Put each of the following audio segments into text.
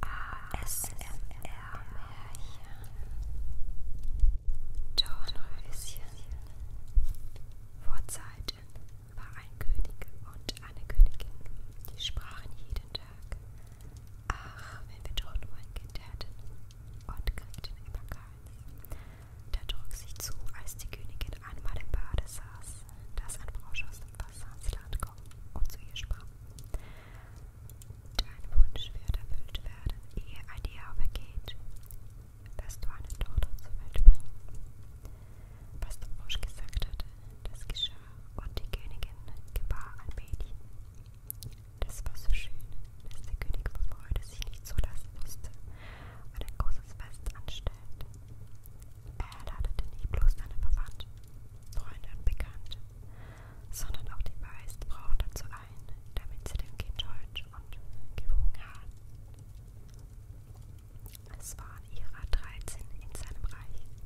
ASMR-Märchen Dornröschen Vor Zeiten war ein König und eine Königin, die sprachen jeden Tag. Ach, wenn wir doch nur ein Kind hätten und kriegten immer keins. Da trug sich zu, als die Königin einmal im Bade saß, dass ein Frosch aus dem Wasser ans Land kommt und zu ihr sprach. Dein Wunsch wird erfüllt werden, ehe ein Jahr vergeht, dass du eine Tochter zur Welt bringst. Was der Frosch gesagt hatte, das geschah, und die Königin gebar ein Mädchen. Das war so schön, dass der König vor Freude sich nicht zulassen musste und ein großes Fest anstellte. Er erladete nicht bloß seine Verwandten, Freunde und Bekannte, sondern auch die meisten Frauen dazu ein, damit sie dem Kind hold und gewogen haben. Es waren ihrer 13 in seinem Reich.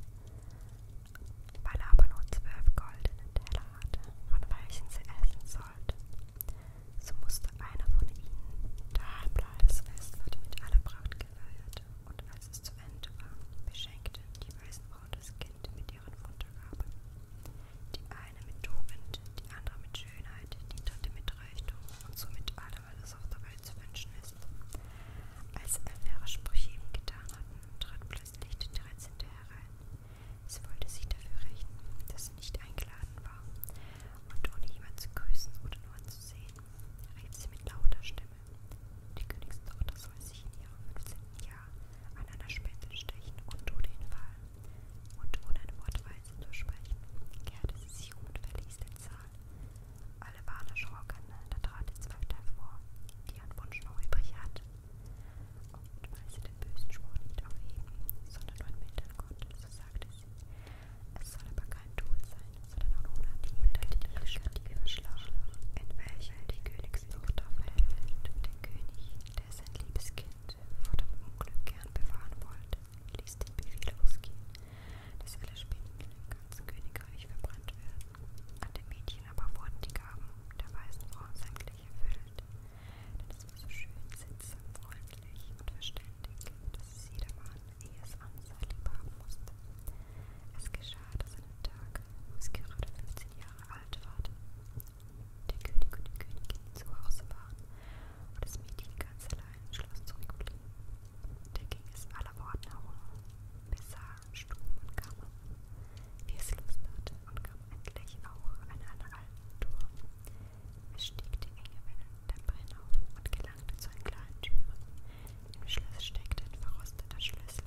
Weil aber nur zwölf goldene Teller hatte, von welchen sie essen sollten, so musste einer von ihnen daheim bleiben. Das Fest wurde mit aller Pracht gefeiert, und als es zu Ende war, beschenkten die Weißenbraut das Kind mit ihren Wundergaben. Die eine mit Tugend, die andere mit Schönheit, die dritte mit Reichtum und somit allem, was auf der Welt zu wünschen ist. Als Elvira Sprüche ihm getan hatten, trat plötzlich die Dreizehnte herein. Sie wollte sich dafür rächen, dass sie nicht eingeladen war, und ohne jemand zu grüßen oder nur anzusehen, rief sie mit lauter Stimme. Die Königstochter soll sich in ihrem 15. Jahr an einer Spitze stechen und tut den Fall. Und ohne ein Wort weise zu sprechen, kehrte sie sich um und verließ den Saal. Alle waren erschrocken, ne? da trat die Zwölfte hervor, die ein Wunsch noch übrig hatte. Und weil sie den bösen Spruch nicht aufheben, sondern nur entmildern konnte, so sagte sie, es soll aber kein Tod sein, die Schlange, Schlange, in welcher die Königstochter verhält, den König, der sein liebes Kind vor dem Unglück gern bewahren wollte, ließ den Befehl ausgehen, dass alle Spindel im ganzen Königreich verbrannt werden. An dem Mädchen aber wurden die Gaben der weißen Frau sämtlich erfüllt, denn es war so schön, sittsam, freundlich und verständig, dass es jedermann wie es Ansa lieb haben musste. Es geschah, dass an einem Tag, wo es gerade 15 Jahre alt ward, der König und die Königin zu Hause waren und das Mädchen ganz allein im Schloss zurückblieb. Da ging es aller Orten herum, besah, Stuben und Kammern, wie es Lust hatte und kam endlich auch an einer alten Tour. Es stieg die enge Wellen der Brenn auf und gelangte zu einer kleinen Türe, im Schloss steckte ein verrosteter Schlüssel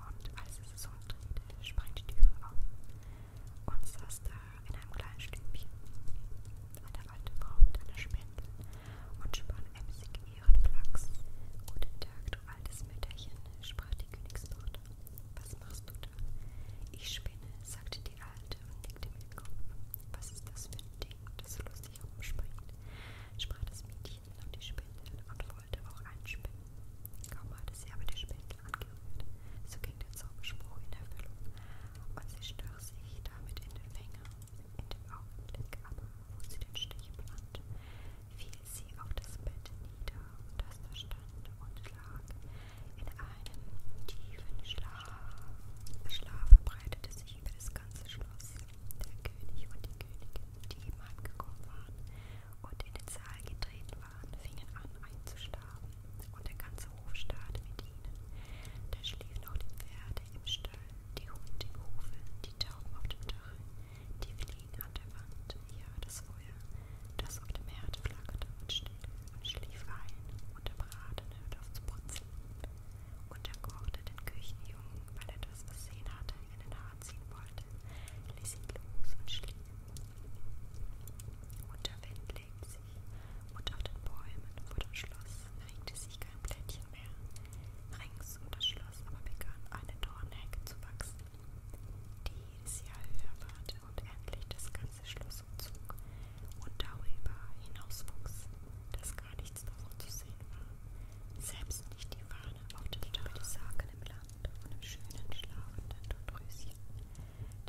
und als es so drehte, sprang die Türe auf und saß da in einem kleinen Stübchen. Eine alte Frau mit einer Spindel und spann emsig ihren Flachs. Guten Tag, du altes Mütterchen, sprach die Königstochter. Was machst du da? Ich spinne, sagte die Alte und nickte mit dem Kopf. Was ist das für ein Ding, das lustig herumspringt? sprach das Mädchen. Mädchen auf die Spindel und wollte auch einspinnen. Kaum hatte sie aber die Spindel angerührt, so ging der Zauberspruch in Erfüllung und sie stach sich damit in den Finger. In dem Augenblick aber, wo sie den Stich plant, fiel sie auf das Bett nieder, das da stand und lag in einem tiefen Schlaf. Schlaf verbreitete sich über das ganze Schloss der König und die Königin, die ihm angekommen waren und in den Saal getreten waren, fingen an einzuschlafen, und der ganze Hof starrte mit ihnen. Da schliefen auch die Pferde im Stall, die Hunde im Hofe, die Tauben auf dem Dach, die Fliegen an der Wand, ja, das Feuer, das auf dem Herd flackerte und still und schlief ein, und der Braten hörte auf zu brutzeln. Und er kochte den Küchenjungen, weil er das Versehen hatte, in den Haar ziehen wollte, ließ ihn los und schlief. Unter Wind legt sich, und auf den Bäumen vor dem Schloss regte sich kein Blättchen mehr. Rings um das Schloss aber begann eine Dornhecke zu wachsen, die jedes Jahr höher ward und endlich das ganze Schloss umzog und darüber hinauswuchs, dass gar nichts davon zu sehen war, selbst nicht die Fahne auf der Liebe des Sagen im Land und im schönen, schlafenden Todröschen,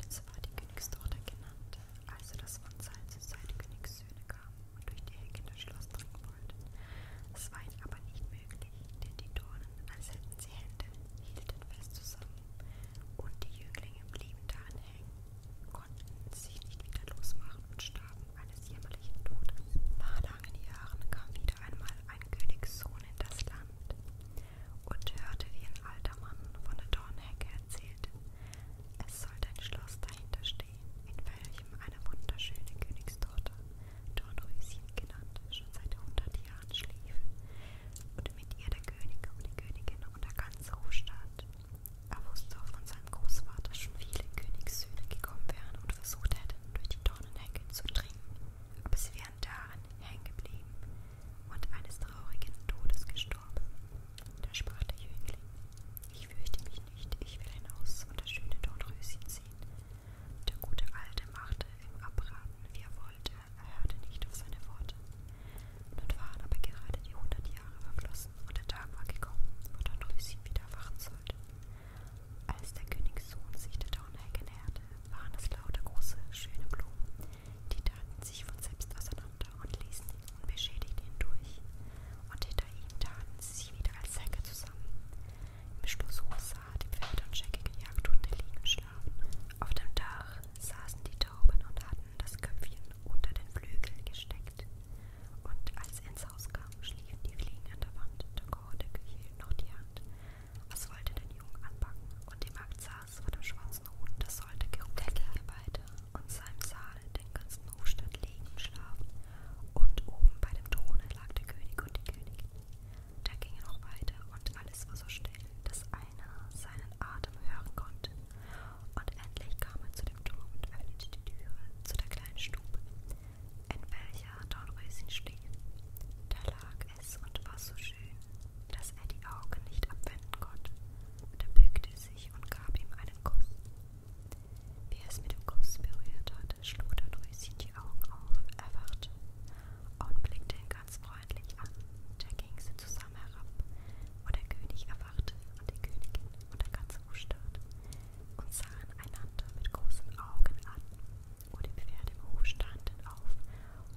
denn so war die Königstochter genannt, also das von Zeit zu Zeit Königssöhne kamen und durch die Hecke das Schloss dringen wollten. Es war ihnen aber nicht möglich, denn die Dornen, als hätten sie Hände, hielten fest zusammen, und die Jünglinge blieben daran hängen, konnten sich nicht wieder losmachen und starben eines jämmerlichen Todes. Nach langen Jahren kam wieder einmal ein Königssohn in das Land und hörte, wie ein alter Mann von der Dornhecke erzählte, es sollte ein Schloss dahinter stehen, in welchem eine wunderschöne Königstochter, Dornröschen genannt, schon seit 100 Jahren schlief und mit ihr der König und die Königin und der ganze Hofstaat. Er wusste von seinem Großvaters schon viele Königssöhne gekommen wären und versucht hätten, durch die Dornenhecke zu dringen, aber sie wären daran hängen geblieben und eines traurigen Todes gestorben. Da sprach der Jüngling, ich fürchte mich nicht, ich will hinaus und das schöne Dornröschen sehen. Der gute Alte machte im Abraten, wie er wollte, er hörte nicht auf seine Worte. Nun waren aber gerade die hundert Jahre verflossen und der Tag war gekommen, wo Dornröschen wieder erwachen sollte. Als der Königssohn sich der Dornhecke näherte, waren es lauter große, schöne Blumen, die taten sich von selbst auseinander und ließen ihn unbeschädigt hindurch, und hinter ihm taten sie sich wieder als Säcke zusammen. Im Schlosshof sah die Pferde und scheckige Jagdhunde liegen und schlafen. Auf dem Dach saßen die Tauben und hatten das Köpfchen unter den Flügel gesteckt. Und als er ins Haus kam, schliefen die Fliegen an der Wand, der Kocherdeckel hielt noch die Hand. Was wollte den Jungen anpacken? Und die Magd saß vor dem schwarzen Huhn, das sollte geruckelt weiter und sah im Saal den ganzen Hofstadt liegen und schlafen. Und oben bei dem Throne lag der König und die Königin. Da ging er noch weiter und alles war so still, dass einer seinen Atem hören konnte. Und endlich kam er zu dem Turm und öffnete die Türe zu der kleinen Stube in welcher Dornröschen schlief. Da lag es und war so schön, dass er die Augen nicht abwenden konnte. Da bückte sich und gab ihm einen Kuss. Wie es mit dem Kuss berührt hatte, schlug Dornröschen die Augen auf, erwachte und blickte ihn ganz freundlich an. Da gingen sie zusammen herab, und der König erwachte und die Königin und der ganze Hofstaat und sahen einander mit großen Augen an, wo die Pferde im Hof standen auf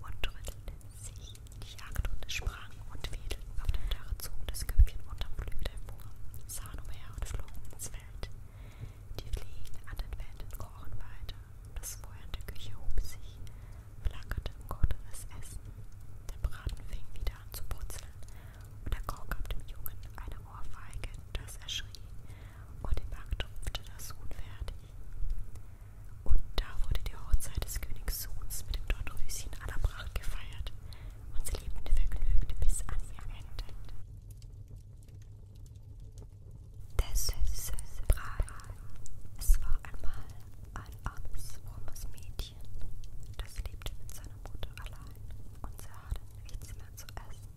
und rüttelten sich. Die Jagdhunde sprangen und wedelten auf dem Dach, zogen das Köpfchen unterm Flügel hervor, sahen umher und flogen ins Feld. Die Fliegen an den Wänden krochen weiter, das Feuer in der Küche hob sich, flackerte im Gotteres Essen, der Braten fing wieder an zu brutzeln und der Grau gab dem Jungen eine Ohrfeige, dass er schrie, und die Magd rupfte das Huhn fertig. Und da wurde die Hochzeit des Königs Sohns mit dem Dornröschen aller Pracht gefeiert, und sie lebten vergnügt bis an ihr Ende. Der süße Brei. Es war einmal ein armes, frommes Mädchen, das lebte mit seiner Mutter allein und sie hatte nichts mehr zu essen.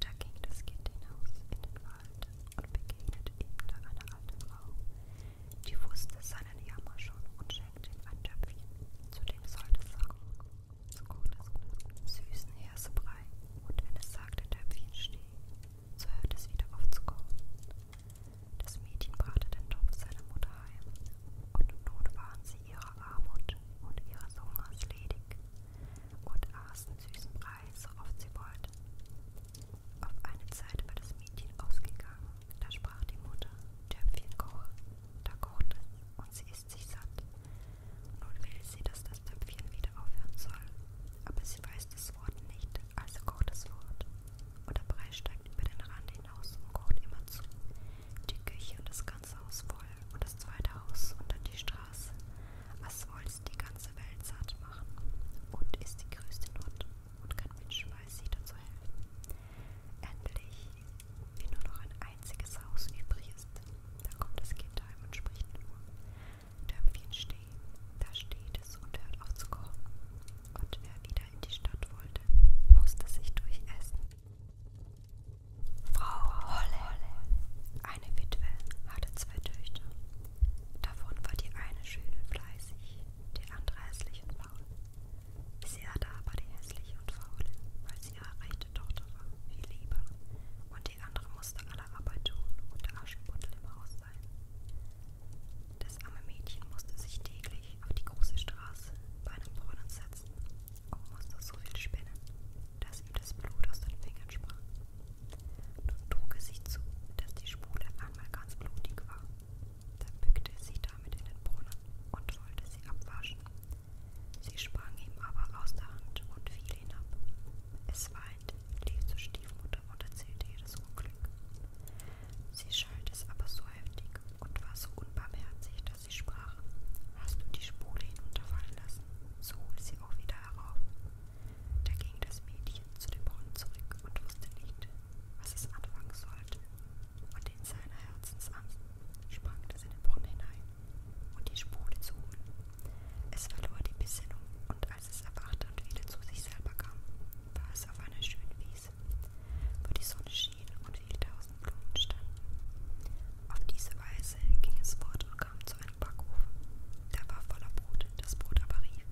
Da ging das Kind hinaus in den Wald und begegnete ihm da eine alte Frau, die wusste seinen Jammer schon und schenkte ihm ein Töpfchen, zu dem sollte sagen, zu süßen Hersebrei, und wenn es sagte Töpfchen steh, so hörte es wieder auf zu kochen. Das Mädchen brachte den Topf seiner Mutter heim, und nun waren sie ihrer Armut und ihres Hungers ledig und aßen süßen Brei, so oft sie wollten. Auf eine Zeit war das Mädchen ausgegangen, da sprach die Mutter, Töpfchen koche, da kocht es und sie ist sich satt. Nun will sie, dass das Töpfchen wieder aufhören soll, aber sie weiß das Wort nicht, also kocht es fort. Und der Brei steigt über den Rand hinaus und kocht immer zu. Die Küche und das ganze ganze Haus voll und das zweite Haus und dann die Straße. Was wollt's die ganze Welt satt machen? Und ist die größte Not und kein Mensch weiß, sie dazu helfen. Endlich, wie nur noch ein einziges Haus übrig ist, da kommt das Kind heim und spricht nur. Töpfchen stehen, da steht es und hört auf zu kochen. Und wer wieder in die Stadt wollte, musste sich durchessen. Frau Holle, eine Witwe, hatte zwei Töchter. Davon war die eine schön und fleißig, die andere hässlich und faul. Sie hatte aber die hässliche und faule, weil sie ihre rechte Tochter war, viel lieber, und die andere musste alle Arbeit tun und der Aschenputtel im Haus sein. Das arme Mädchen musste sich täglich auf die große Straße bei einem Brunnen setzen und oh, musste so viel spinnen, dass ihm das Blut aus den Fingern sprang. Nun trug es sich zu, dass die Spule einmal ganz blutig war. Dann bückte es sich damit in den Brunnen und wollte sie abwaschen. Sie sprang ihm aber aus der Hand und fiel hinab. Es weint, lief zur Stiefmutter und erzählte ihr das Unglück. Sie schalt es aber so heftig und war so unbarmherzig, dass sie sprach. Hast du die Spule hinunterfallen lassen? So hol sie auch wieder herauf. Da ging das Mädchen zu dem Brunnen zurück und wusste nicht, was es anfangen sollte. Und in seiner Herzensangst sprang es in den Brunnen hinein, um die Spule zu holen. Es verlor die Besinnung und als es erwachte und wieder zu sich selber kam, war es auf einer schönen Wiese, wo die Sonne schien und zigtausend Blumen standen. Auf diese Weise ging es fort und kam zu einem Backofen. Der war voller Brot, das Brot aber rief,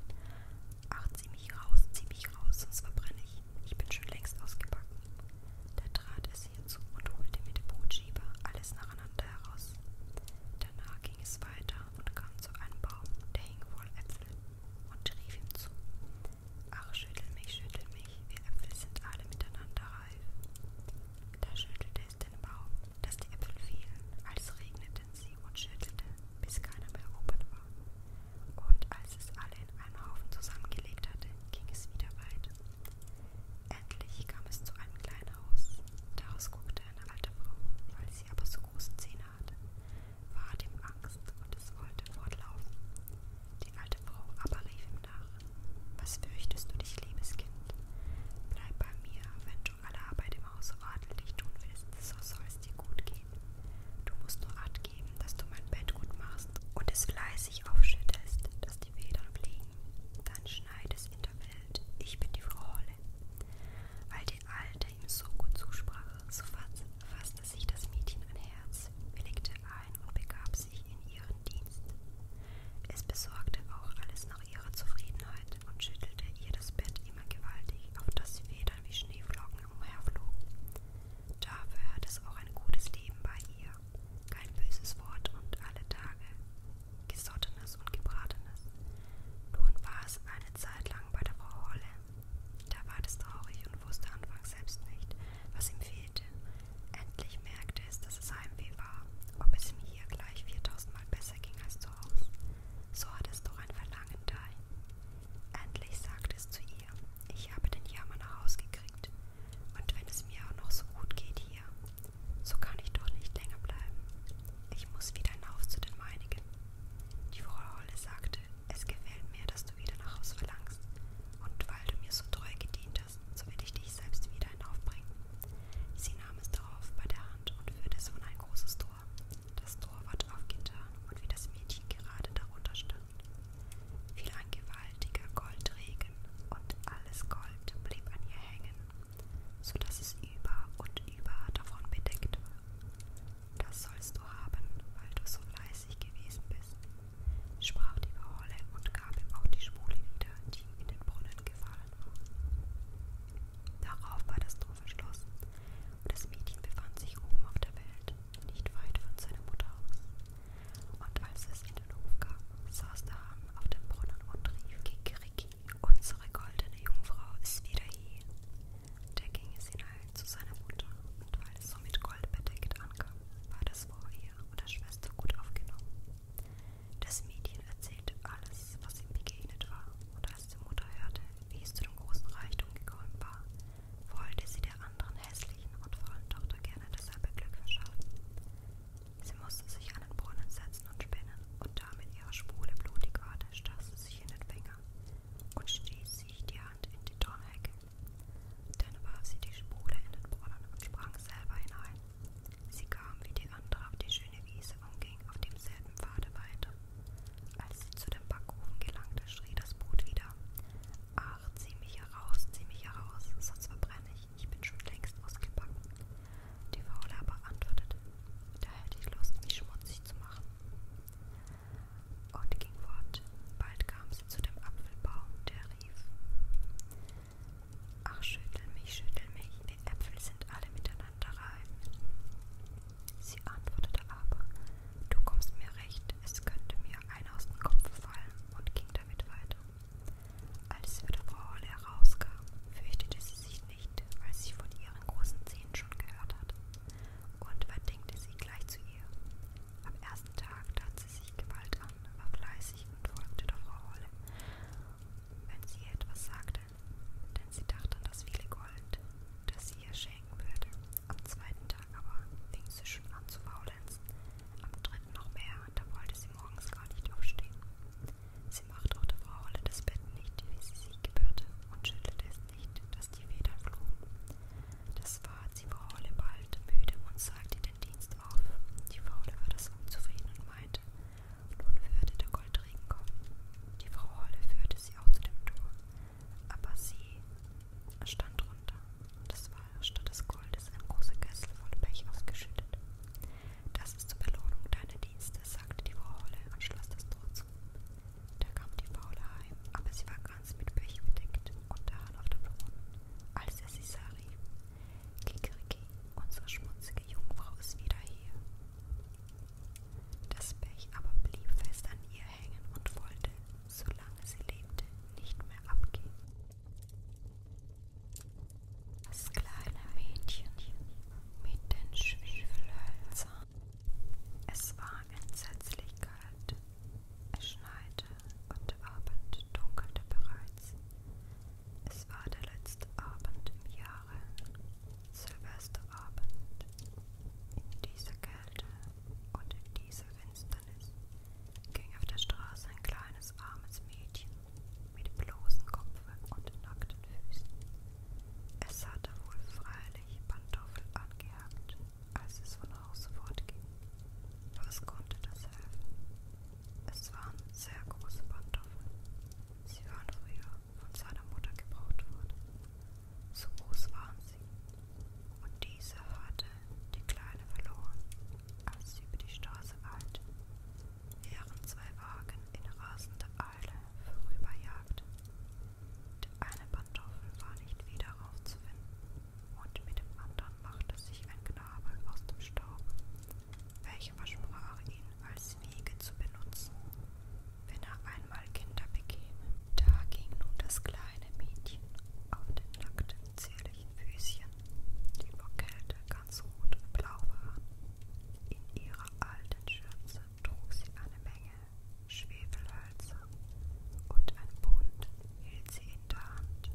Ach, zieh mich raus, zieh mich raus, sonst verbrenne ich. Ich bin schon längst ausgebacken. Da trat es hierzu und holte mit dem Brotschieber alles nacheinander heraus. Danach ging es weiter und kam zu einem Baum, der hing voll Äpfel, und rief ihm zu: Ach, schüttel mich, schüttel mich, wir Äpfel sind alle miteinander reif. Da schüttelte es den Baum, dass die Äpfel fielen, als regneten sie und schüttelte, bis keiner mehr oben war. Und als es alle in einen Haufen zusammengelegt hatte, ging es wieder weiter. Endlich kam es zu einem kleinen Haus. Daraus guckte eine alte Frau, weil sie aber so große Zähne hatte, war dem Angst und es wollte fortlaufen. Die alte Frau aber rief ihm nach: Was fürchtest du dich, liebes Kind? Bleib bei mir, wenn du Allah bei dem Hause ordentlich tun willst, so soll es dir gut gehen. Du musst nur Acht geben, dass du mein Bett gut machst und es fleißig aufschüttest, dass die Federn fliegen. Dann schneid es in der Welt, ich bin die Frau Holle. Weil die Alte ihm so gut zusprach, so fasste sich das Mädchen an Herz, willigte ein und begab sich in ihren Dienst. Es besorgte auch alles nach ihrer Zufriedenheit und schüttelte ihr das Bett immer gewaltig, auf das sie Federn wie Schneeflocken umherflogen. Dafür hat es auch ein gutes Leben bei ihr, kein böses Wort und alle Tage Gesottenes und Gebratenes. Nun war es eine Zeit lang bei der Frau Holle. Da ward es traurig und wusste anfangs selbst nicht, was ihm fehlte. Endlich merkte es, dass es Heimweh war, ob es ihm hier gleich 4000 Mal besser ging als zu Hause. So hatte es doch ein Verlangen dahin. Endlich sagte es zu ihr, ich habe den Jammer nach Haus gekriegt. Und wenn es mir auch noch so gut geht hier, so kann ich doch nicht länger bleiben. Ich muss wieder hinaus zu den meinigen. Die Frau Holle sagte, es gefällt mir, dass du wieder nach Haus verlangst. Und weil du mir so treu gedient das, so will ich dich selbst wieder hinaufbringen. Sie nahm es darauf bei der Hand und führte es an ein großes Tor. Das Tor ward aufgetan und wie das Mädchen gerade darunter stand, fiel ein gewaltiger Goldregen und alles Gold blieb an ihr hängen, so dass es über und über davon bedeckt war. Das sollst du haben, weil du so fleißig gewesen bist, sprach die Verholle und gab ihm auch die Schwule wieder, die ihm in den Brunnen gefallen war. Darauf war das Tor verschlossen und das Mädchen befand sich oben auf der Welt, nicht weit von seiner Mutter aus. Und als es in den Hof kam, saß der Hahn auf dem Brunnen und rief Kikeriki, unsere goldene Jungfrau ist wieder hier. Da ging es hinein zu seiner Mutter und weil es so mit Gold bedeckt ankam, war das vor ihr Mutter oder Schwester gut aufgenommen. Das Mädchen erzählte alles, was ihm begegnet war, und als die Mutter hörte, wie es zu dem großen Reichtum gekommen war, wollte sie der anderen hässlichen und faulen Tochter gerne dasselbe Glück verschaffen. Sie musste sich an den Brunnen setzen und spinnen, und damit ihre Spule blutig war, stach sie sich in den Finger und stieß sich die Hand in die Dornhecke. Dann warf sie die Spule in den Brunnen und sprang selber hinein. Sie kam wie die andere auf die schöne Wiese und ging auf demselben Pfade weiter. Als sie zu dem Backofen gelangte, schrie das Brot wieder. Ach, zieh mich heraus, zieh mich heraus, sonst verbrenne ich, ich bin schon längst ausgebacken. Die Faule aber antwortete, da hätte ich Lust, mich schmutzig zu machen. Und ging fort. Bald kam sich zu dem Apfelbaum, der rief: Ach, schüttel mich, schüttel mich, die Äpfel sind alle miteinander reif. Sie antwortete aber: Du kommst mir recht, es könnte mir einer aus dem Kopf fallen, und ging damit weiter. Als sie wieder Frau Holle herauskam, fürchtete sie sich nicht, weil sie von ihren großen Zähnen schon gehört hatte, und verdinkte sie gleich zu ihr. Am ersten Tag tat sie sich Gewalt an Anne war fleißig und folgte der Frau Holle, wenn sie ihr etwas sagte, denn sie dachte an das viele Gold, das sie ihr schenken würde. Am zweiten Tag aber fing sie schon an zu faulenzen, am dritten noch mehr, da wollte sie morgens gar nicht aufstehen. Sie machte auch der Frau Holle das Bett nicht, wie sie sich gebührte, und schüttelte es nicht, dass die Federn flogen. Das war sie Frau Holle bald müde und sagte den Dienst auf. Die Faule war das unzufrieden und meinte, nun würde der Goldregen kommen. Die Frau Holle führte sie auch zu dem Tor, aber sie stand runter. Das war statt des Goldes ein großer Kessel voll Pech ausgeschüttet. Das ist zur Belohnung deiner Dienste, sagte die Frau Holle und schloss das Tor zu. Da kam die Faule heim, aber sie war ganz schwarz mit Pech bedeckt und daran auf dem Boden, als er sie sah, rief, Kikeriki, unsere schmutzige Jungfrau ist wieder hier. Das Pech aber blieb fest an ihr hängen und wollte, solange sie lebte, nicht mehr abgehen. Das kleine Mädchen mit den Schwefelhölzern. Es war entsetzlich kalt es schneite und der Abend dunkelte bereits. Es war der letzte Abend im Jahre, Silvesterabend. In dieser Kälte und in dieser Finsternis ging auf der Straße ein kleines armes Mädchen mit bloßem Kopfe und nackten Füßen. Es hatte wohl freilich Pantoffel angehakt als es von Haus fortging. Was konnte das helfen? Es waren sehr große Pantoffeln. Sie waren früher von seiner Mutter gebraucht worden. So groß waren sie. Und diese hatte die Kleine verloren, als sie über die Straße eilte, während zwei Wagen in rasender Eile vorüberjagten. Der eine Pantoffel war nicht wieder aufzufinden und mit dem anderen machte sich ein Knabe aus dem Staub, welcher versprach ihn als Wiege zu benutzen, wenn er einmal Kinder bekäme. Da ging nun das kleine Mädchen auf den nackten, zierlichen Füßchen, die vor Kälte ganz rot und blau waren. In ihrer alten Schürze trug sie eine Menge Schwefelhölzer und ein Bund hielt sie in der Hand.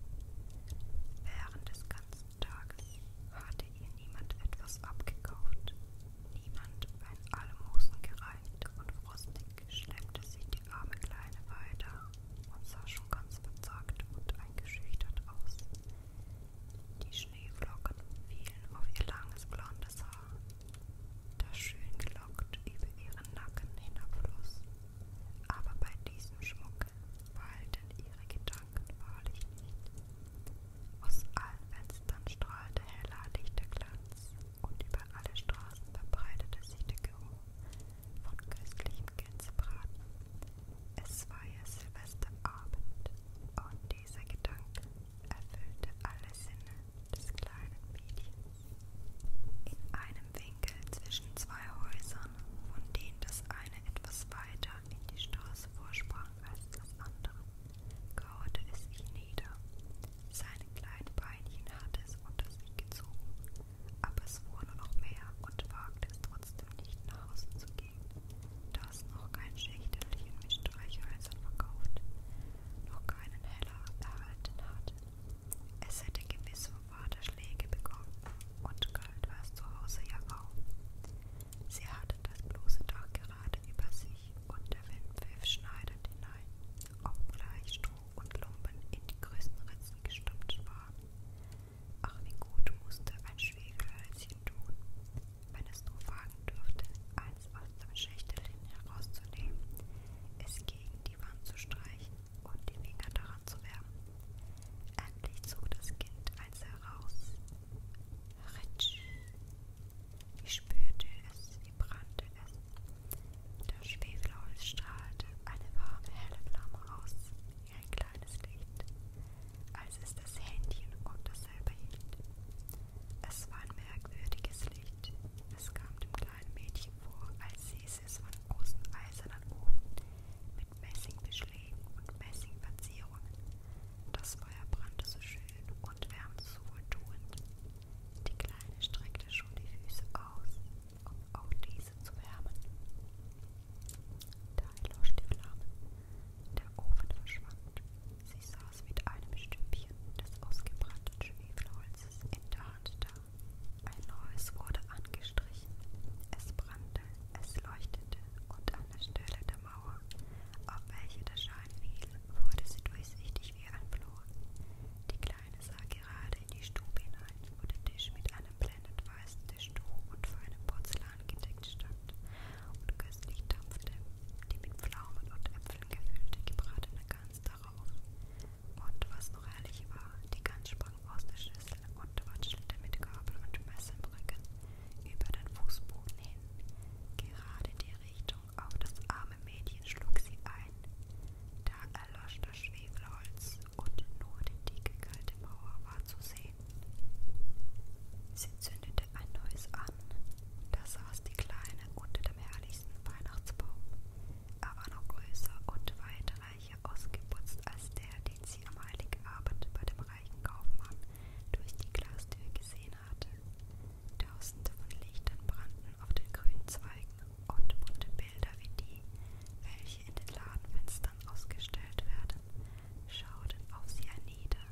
Während des ganzen Tages hatte ihr niemand etwas abgekauft, niemand ein Almosen gereicht und frostig schleppte sie die arme Kleine weiter und sah schon ganz verzagt und eingeschüchtert aus. Die Schneeflocken fielen auf ihr langes blondes Haar, das schön gelockt über ihren Nacken hinabfloss aber bei diesem Schmuck weilten ihre Gedanken wahrlich nicht. Aus allen Fenstern strahlte heller, dichter Glanz und über alle Straßen verbreitete sich der Geruch von köstlichem Gänsebraten. Es war ja Silvesterabend und dieser Gedanke erfüllte alle Sinne des kleinen Mädchens. In einem Winkel zwischen zwei Häusern, von denen das eine etwas weiter in die Straße vorsprang als das andere, kauerte es ihn nieder. Seine kleinen Beinchen hatte es unter sich gezogen, aber es fuhr nur noch mehr und wagte es trotzdem nicht nach Hause zu gehen, da es noch kein Schächterchen mit Streichhölzern verkauft, noch keinen Heller erhalten hatte es hätte gewiss Worte Schläge bekommen, und galt war's zu Hause ja auch. Sie hatte das bloße Dach gerade über sich, und der Wind pfiff schneidend hinein, obgleich Stroh und Lumpen in die größten Ritzen gestopft waren. Ach, wie gut musste ein Schwegelhölzchen tun, wenn es nur wagen dürfte, eins aus dem Schächtelchen herauszunehmen, es gegen die Wand zu streichen und die Finger daran zu wärmen. Endlich zog das Kind eins heraus. Ritsch! Ich spürte es, wie brannte es. Das Schwefelholz strahlte eine warme, helle Flamme aus, wie ein kleines Licht, als es das Händchen und dasselbe hielt. Es war ein merkwürdiges Licht. Es kam dem kleinen Mädchen vor, als sie es Basis von großen eisernen Ofen mit Messingbeschlägen und Messingverzierungen. Das Feuer brannte so schön und wärmte so wohltuend. Die Kleine streckte schon die Füße aus, um auch diese zu wärmen. Da erlosch die Flamme. Der Ofen verschwand. Sie saß mit einem Stümpchen des ausgebrannten Schwefelholzes in der Hand da ein neues wurde angestrichen. Es brannte, es leuchtete und an der Stelle der Mauer, auf welche der Schein fiel, wurde sie durchsichtig wie ein Flor. Die Kleine sah gerade in die Stube hinein, wo der Tisch mit einem blendend weißen Tischtuch und feinem Porzellan gedeckt stand und köstlich dampfte die mit Pflaumen und Äpfeln gefüllte gebratene Gans darauf. Und was noch herrlich war, die Gans sprang aus der Schüssel und watschelte mit Gabel und Messer im Rücken über den Fußboden hin. Gerade in die Richtung auf das arme Mädchen schlug sie ein. Da erlosch das Schwefelholz und nur die dicke kalte Mauer war zu sehen. Sie zündete ein neues an. Da saß die Kleine unter dem herrlichsten Weihnachtsbaum. Er war noch größer und weiter reicher ausgeputzt als der, den sie am heiligen Abend bei dem reichen Kaufmann durch die Glastür gesehen hatte. Tausende von Lichtern brannten auf den grünen Zweigen und bunte Bilder wie die, welche in den Ladenfenstern ausgestellt werden, schauten auf sie hernieder.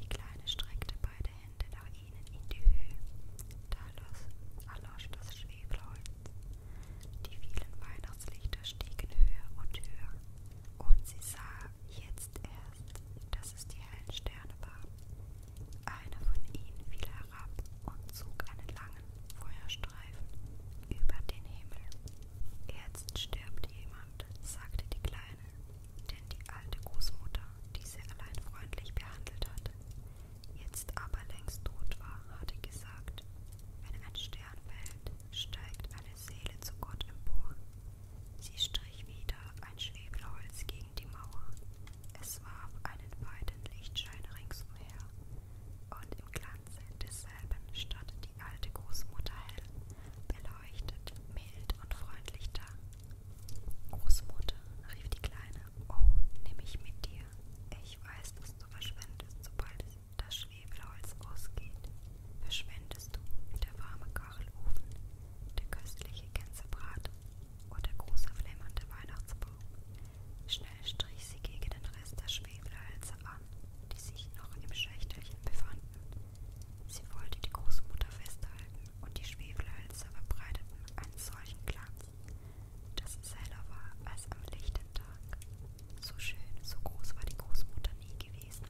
Die Kleine streckte beide Hände nach ihnen in die Höhe. Da erlosch das Schwefelholz. Die vielen Weihnachtslichter stiegen höher und höher, und sie sah jetzt erst, dass es die hellen Sterne waren. Einer von ihnen fiel herab und zog einen langen Feuerstreifen über den Himmel. Jetzt stirbt jemand, sagte die Kleine, denn die alte Großmutter, die sie allein freundlich behandelt hatte, jetzt aber längst tot war, hatte gesagt, wenn ein Stern fällt, steigt eine Seele zu Gott empor. Sie strich wieder ein Schwebelholz gegen die Mauer. Es warf einen weiten Lichtschein ringsumher. Und im Glanze desselben stand die alte Großmutter hell, beleuchtet, mild und freundlich da. Großmutter, rief die Kleine, oh, nimm mich mit dir dir. Ich weiß, dass du verschwendest, sobald das Schwefelholz ausgeht. Verschwendest du wie der warme Kachelofen, der köstliche Gänsebrat oder der große flimmernde Weihnachtsbaum. Schnell strich sie gegen den Rest der Schwefelhölzer an, die sich noch im Schächtelchen befanden. Sie wollte die Großmutter festhalten und die Schwefelhölzer verbreiteten einen solchen Glanz, dass es heller halt war als am lichten Tag. So schön, so groß war die Großmutter nie gewesen.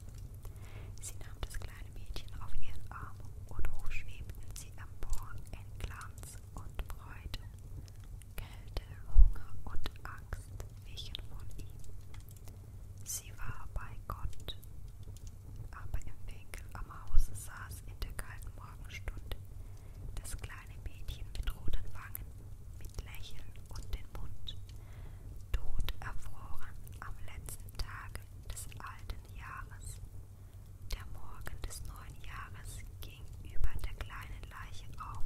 Sie nahm das kleine Mädchen auf ihren Arm und hochschwebten sie empor in Glanz und Freude. Kälte, Hunger und Angst wichen von ihm. Sie war bei Gott, aber im Winkel am Haus saß in der kalten Morgenstunde das kleine Mädchen mit roten Wangen, mit Lächeln und den Mund, tot erfroren am letzten Tage des alten Jahres. Der Morgen des neuen Jahres ging über der kleinen Leiche auf,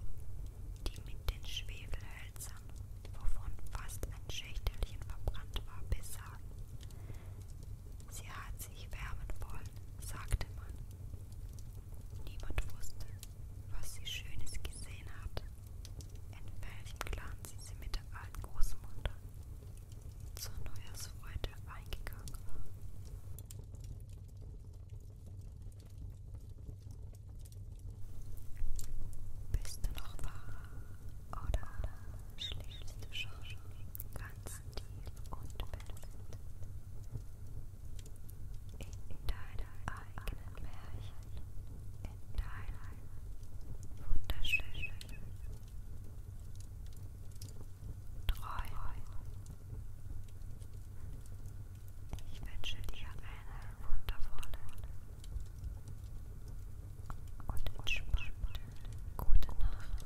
die mit den Schwefelhölzern, wovon fast ein Schächtelchen verbrannt war, besah. Sie hat sich wärmen wollen, sagte man. Niemand wusste, was sie Schönes gesehen hatte, in welchem Glanz sie, sie mit der alten Großmutter zur Neujahrsfreude eingegangen war. Bist du noch wahr oder schläfst du schon ganz Stil und Benefit. In deinem eigenen Märchen, in deinem wunderschönen Träumen. Ich wünsche dir eine wundervolle und entspannte gute Nacht.